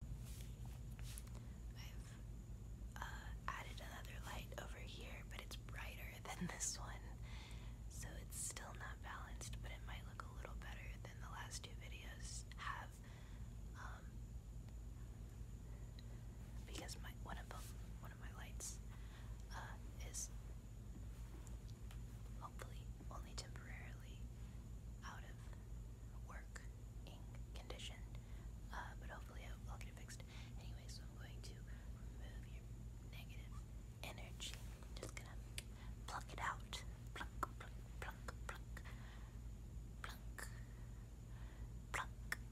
I've uh, added another light over here, but it's brighter than this one, so it's still not balanced, but it might look a little better than the last two videos have, um, because one of my lights, uh, is hopefully only temporarily out of work ink uh, but hopefully i I'll get it fixed. Anyway, so I'm going to remove your negative energy. I'm just gonna pluck it out. Pluck, pluck, pluck, pluck, pluck, pluck. Pluck, pluck,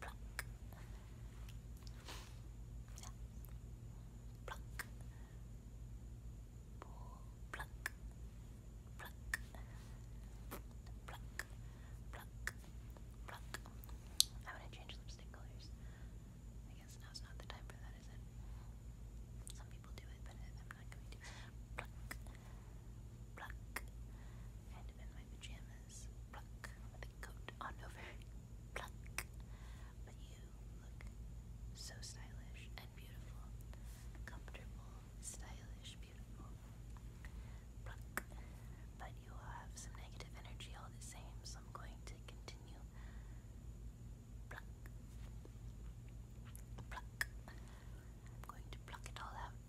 Pluck. Yeah. Pluck. to change lipstick colors. I guess now's not the time for that, is it? Some people do it, but I'm not going to. Kind of in my pajamas. But you look so stylish and beautiful, comfortable, stylish, beautiful, But you will have some negative energy all the same, so I'm going to continue, I'm going to pluck it all out,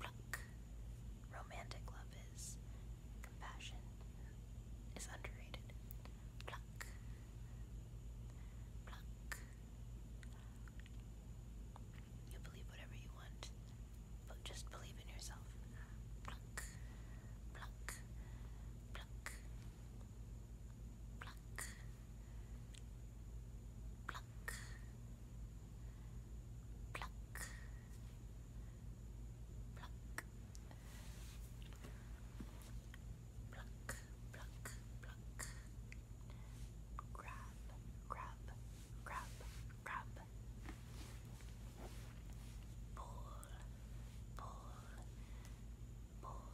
pluck, Romantic love is compassion is underrated. Pluck, pluck. You believe whatever you want, but just believe in yourself. Pluck, pluck, pluck, pluck, pluck pluck, pluck, pluck, pluck, pluck, pluck, grab, grab, grab, grab, pull, pull, pull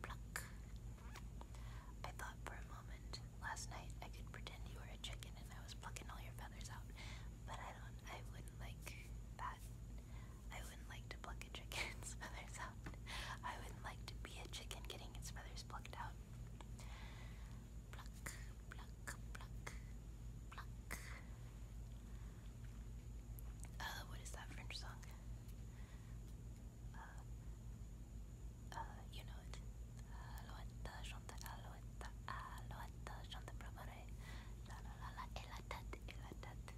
Pluck. I thought for a moment last night I could pretend you were a chicken and I was plucking all your feathers out, but I don't. I wouldn't like that. I wouldn't like to pluck a chicken's feathers out. I wouldn't like to be a chicken getting its feathers plucked out. Pluck, pluck, pluck, pluck. Uh, what is that French song? uh, you know it. Alouette, chante alouette, alouette, chante préparé. La la la la, la tête, et la tête.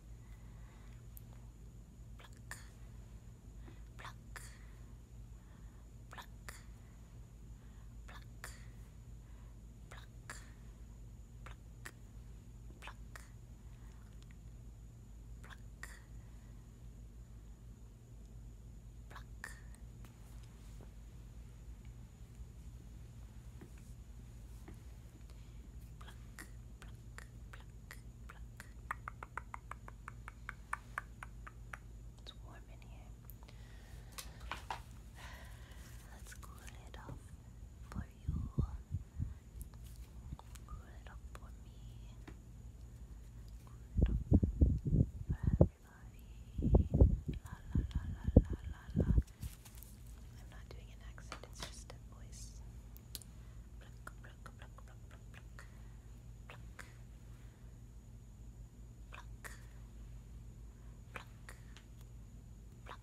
Pluck, pluck, pluck, pluck, pluck, pluck pluck, pluck, It's warm in here. Let's cool it off for you. Roll it for me. Roll it for everybody. La la la la la la I'm not doing an accent, it's just a voice. Pluck, pluck, pluck, pluck, pluck, pluck. Pluck. Pluck. Pluck.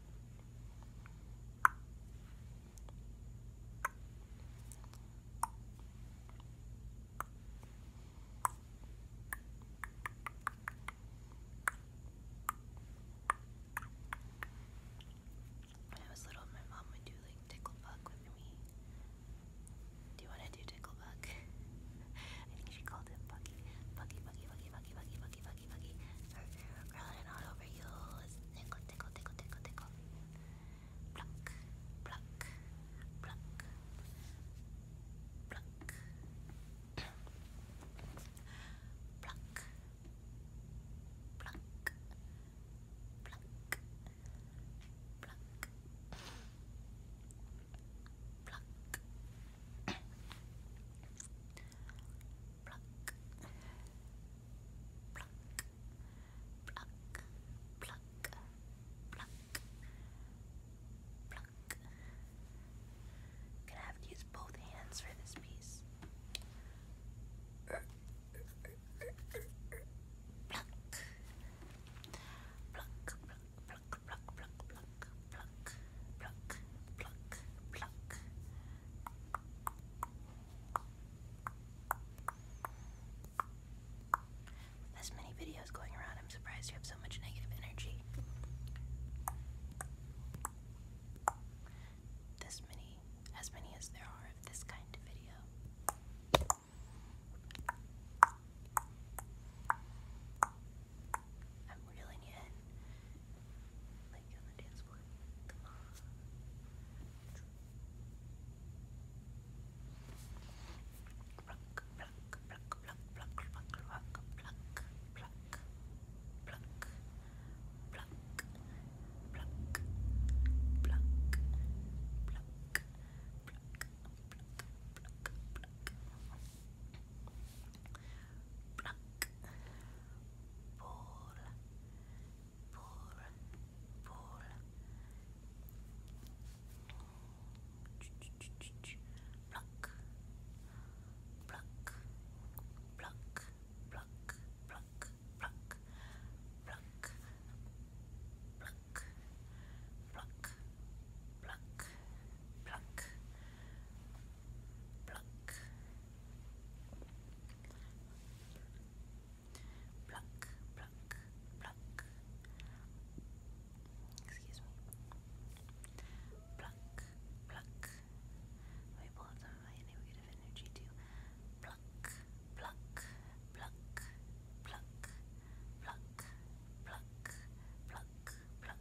When I was little, my mom would do like tickle bug with me. Do you want to do tickle bug? I think she called it buggy, buggy, buggy. Rolling all over you. Tickle, tickle, tickle, tickle, tickle. Pluck, pluck, pluck, pluck, pluck, pluck, pluck, pluck. Pluck, pluck, Pluck. Pluck. gonna have to use both hands for this piece pluck, as many videos going around, I'm surprised you have so much negative energy. This many, as many as there are of this kind of video. I'm reeling in. Like on the dance floor pluck, pull, pull, pull, pluck, pluck, pluck, pluck, pluck, pluck, pluck, pluck, pluck, pluck. Pluck, pluck, pluck, pluck, pluck, pluck. Excuse me. Pluck, pluck. Let me pull up some of my negative energy too. Pluck, pluck, pluck, pluck, pluck, pluck, pluck, pluck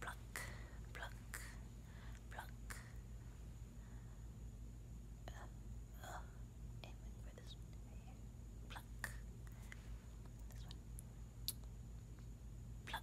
pluck, pluck, pluck. Uh, uh, aiming for this one right here. Pluck. This one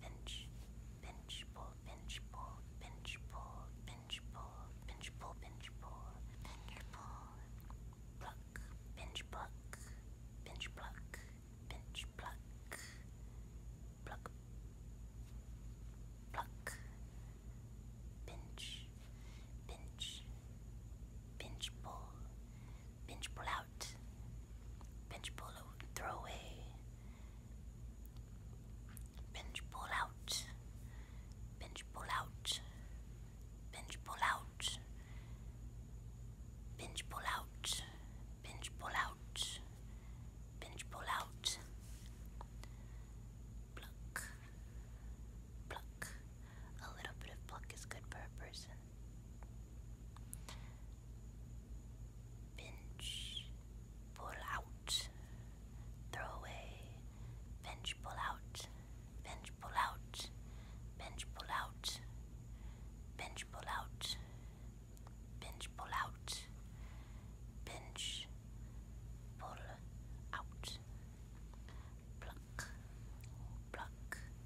pinch, pinch, pull, pinch, pull, pinch, pull, pinch, pull, pinch, pull, pinch, pull, pinch, pull, pluck, pinch, pluck, pinch, pluck, pinch, pluck, pluck, pluck, pinch, pinch, pinch, pull. Pinch pull out. Pinch pull out. Throw away. Pinch pull out. Pinch pull out. Pinch pull out. Pinch pull out. Pinch pull out. Pluck. Pluck. A little bit of pluck is good for a person. Pinch, pull out, throw away. Pinch, pull out, pinch, pull out, pinch, pull out, pinch, pull out, pinch, pull out, pinch, pull out. Pluck, pluck,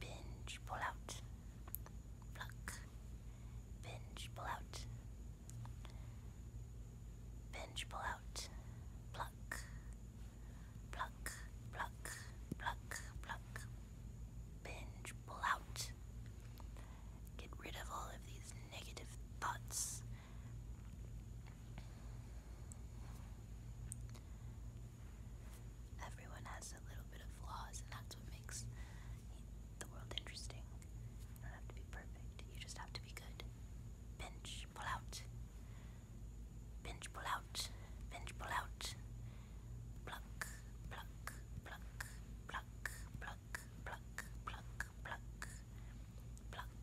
Binge, pull out. Pluck. Binge, pull out. Binge, pull out. Pluck. Pluck, pluck, pluck, pluck. Binge, pull out. Get rid of all of these negative thoughts. Everyone has a little bit of flaws, and that's what makes the world interesting. don't have to be perfect, you just have to be good. Pinch, pull out. Pinch, pull out. Pinch, pull out. Pluck, pluck, pluck, pluck, pluck, pluck, pluck, pluck, pluck.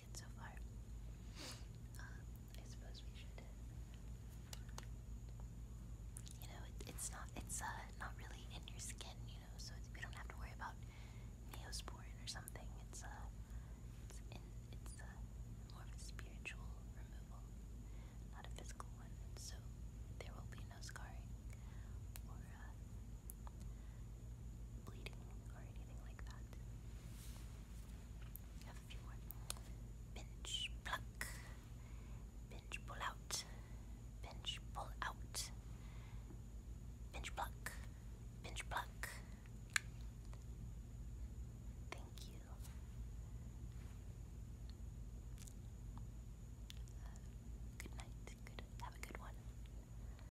taken so far. Um, I suppose we should. Uh, you know, it, it's not it's uh not really in your skin, you know, so it's, we don't have to worry about neosporin or something. It's uh it's in it's uh more of a spiritual removal, not a physical one. So there will be no scarring or uh, bleeding or anything pull out. Pinch, pull out. Pinch, pluck. Pinch, pluck. Thank you. Uh, good night. Good. Have a good one.